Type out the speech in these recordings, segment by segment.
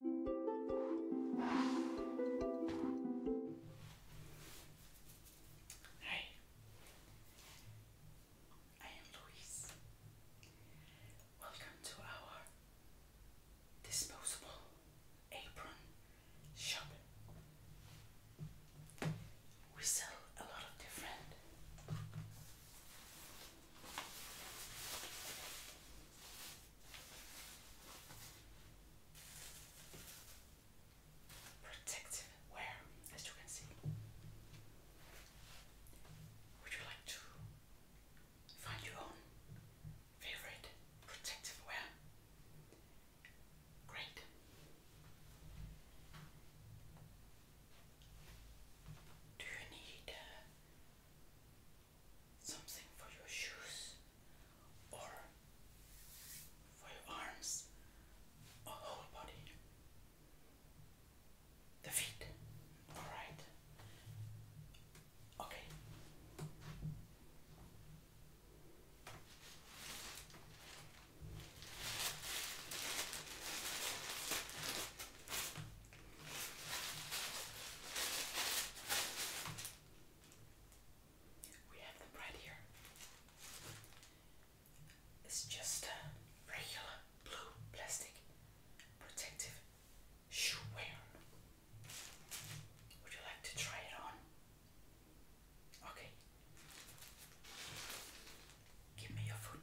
Hi, I am Louise. Welcome to our disposable apron shop. We sell a lot of different protective wear, as you can see. Would you like to find your own favorite protective wear? Great. Do you need uh, something for your shoes or for your arms or whole body. The feet. Alright. Okay. We have them right here. It's just a regular blue plastic protective shoe wear. Would you like to try it on? Okay. Give me your foot.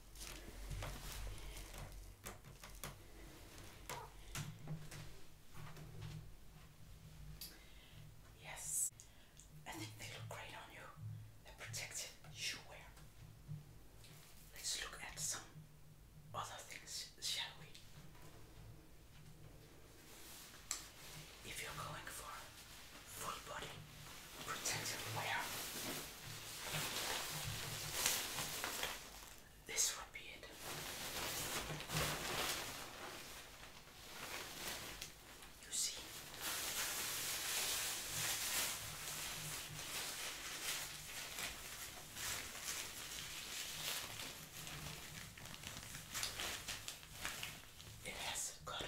Yes, I think they look great on you. The protective shoe wear. Let's look at some other things, shall we? If you're going for full body protective layer. This would be it. You see? It has cotton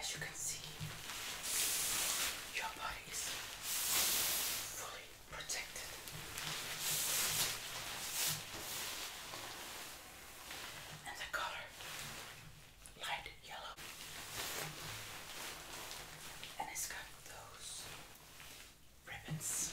As you can see, your body is fully protected and the color light yellow and it's got those ribbons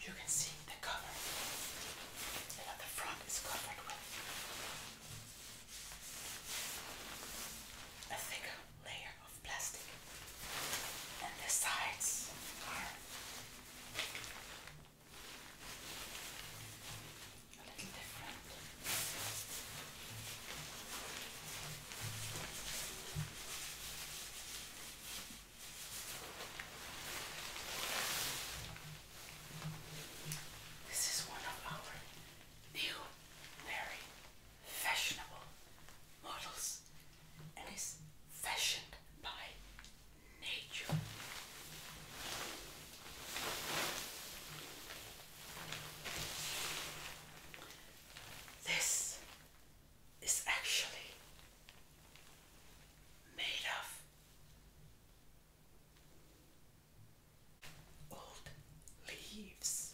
You can see the cover, and at the front is covered with a thick layer of plastic, and the sides are a little different. This is one of our new, very fashionable models and is fashioned by nature. This is actually made of old leaves.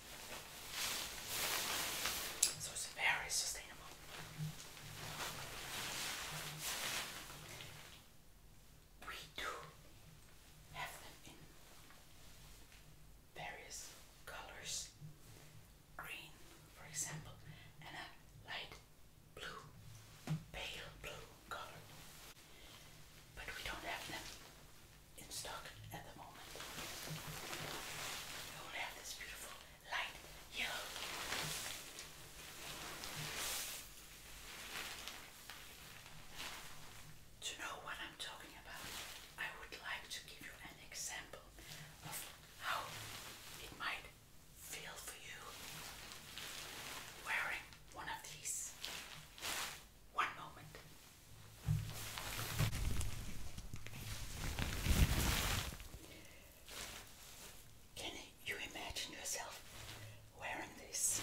So it's very sustainable. We do have them in various colors green, for example, and a light blue, pale blue color. But we don't have them in stock at the moment. We only have this beautiful light yellow. To know what I'm talking about, I would like to give you an example how it might feel for you wearing one of these. One moment. Can you imagine yourself wearing this?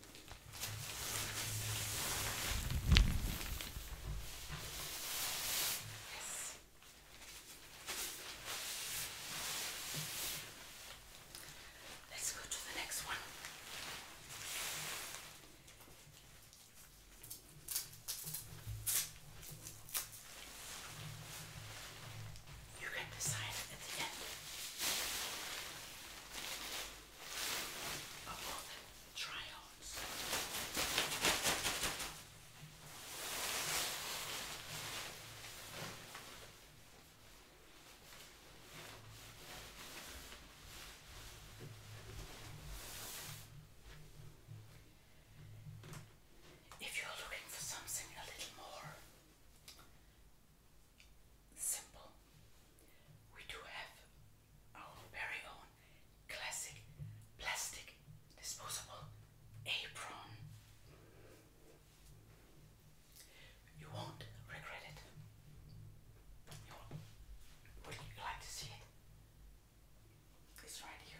Yes. Let's go to the next one. You can decide at the end. If you're looking for something a little more simple. We do have our very own classic plastic disposable apron. You won't regret it. would you like to see it? It's right here.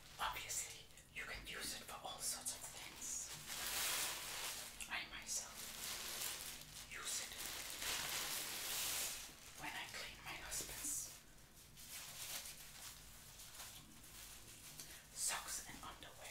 obviously, you can use it for all sorts of things. I myself use it when I clean my husband's socks and underwear.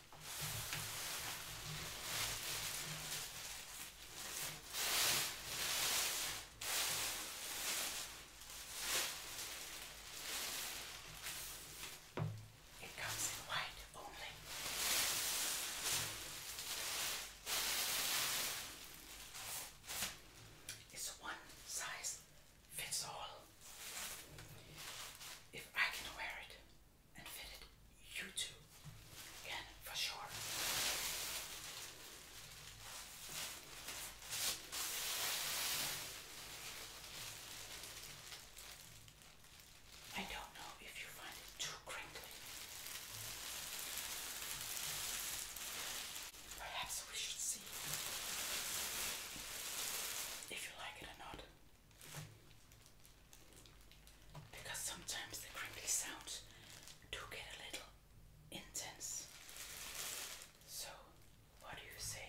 It comes in white only. It's one size fits all. If I can wear it, and fit it you two can for sure. I don't know if you find it too crinkly. Perhaps we should see if you like it or not because sometimes the crinkly sound do get a little intense. So, what do you say?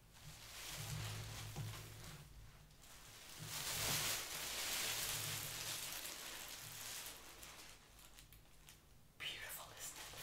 Beautiful, isn't it?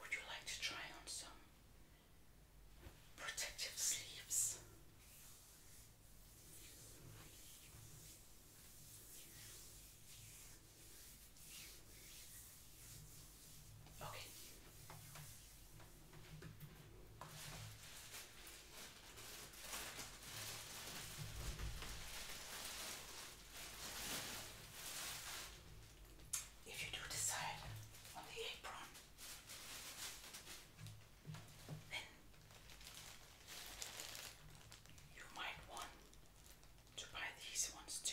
Would you like to try on some protective sleeves? Okay. If you do decide on the apron, then you might want to buy these ones too.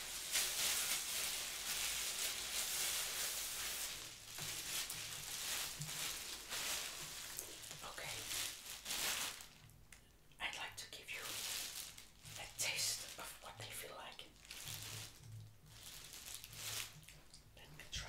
Okay, I'd like to give you a taste of what they feel like. Let try.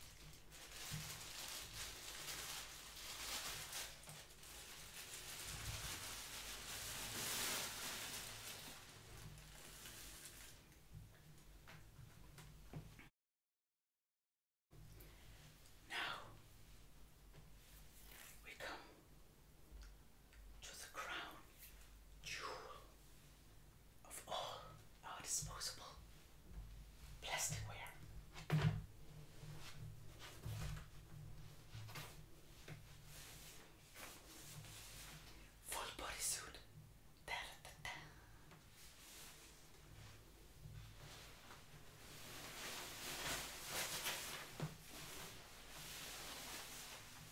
Now we come to the crown jewel of all our disposable plasticware. Full bodysuit. Da, da, da, da.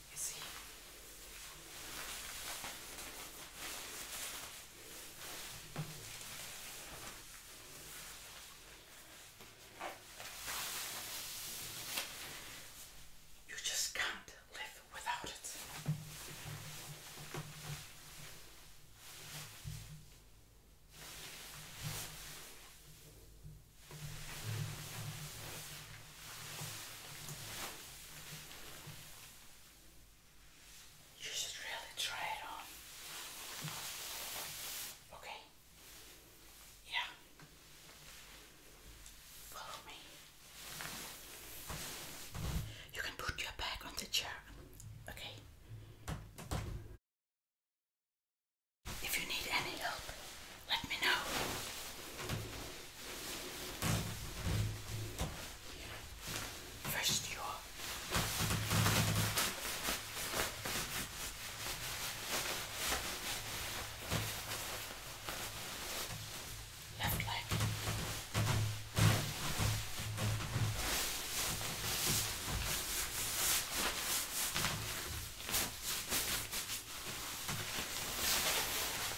You You just can't live without it. You should really try it on. Okay. Yeah. Follow me. You can put your bag on the chair. Okay. If you need any help, let me know. First, you are. Left leg.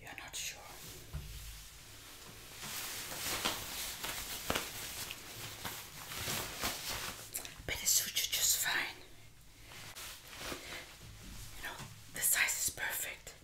You're not sure. But it suits you just fine. You know, the size is perfect.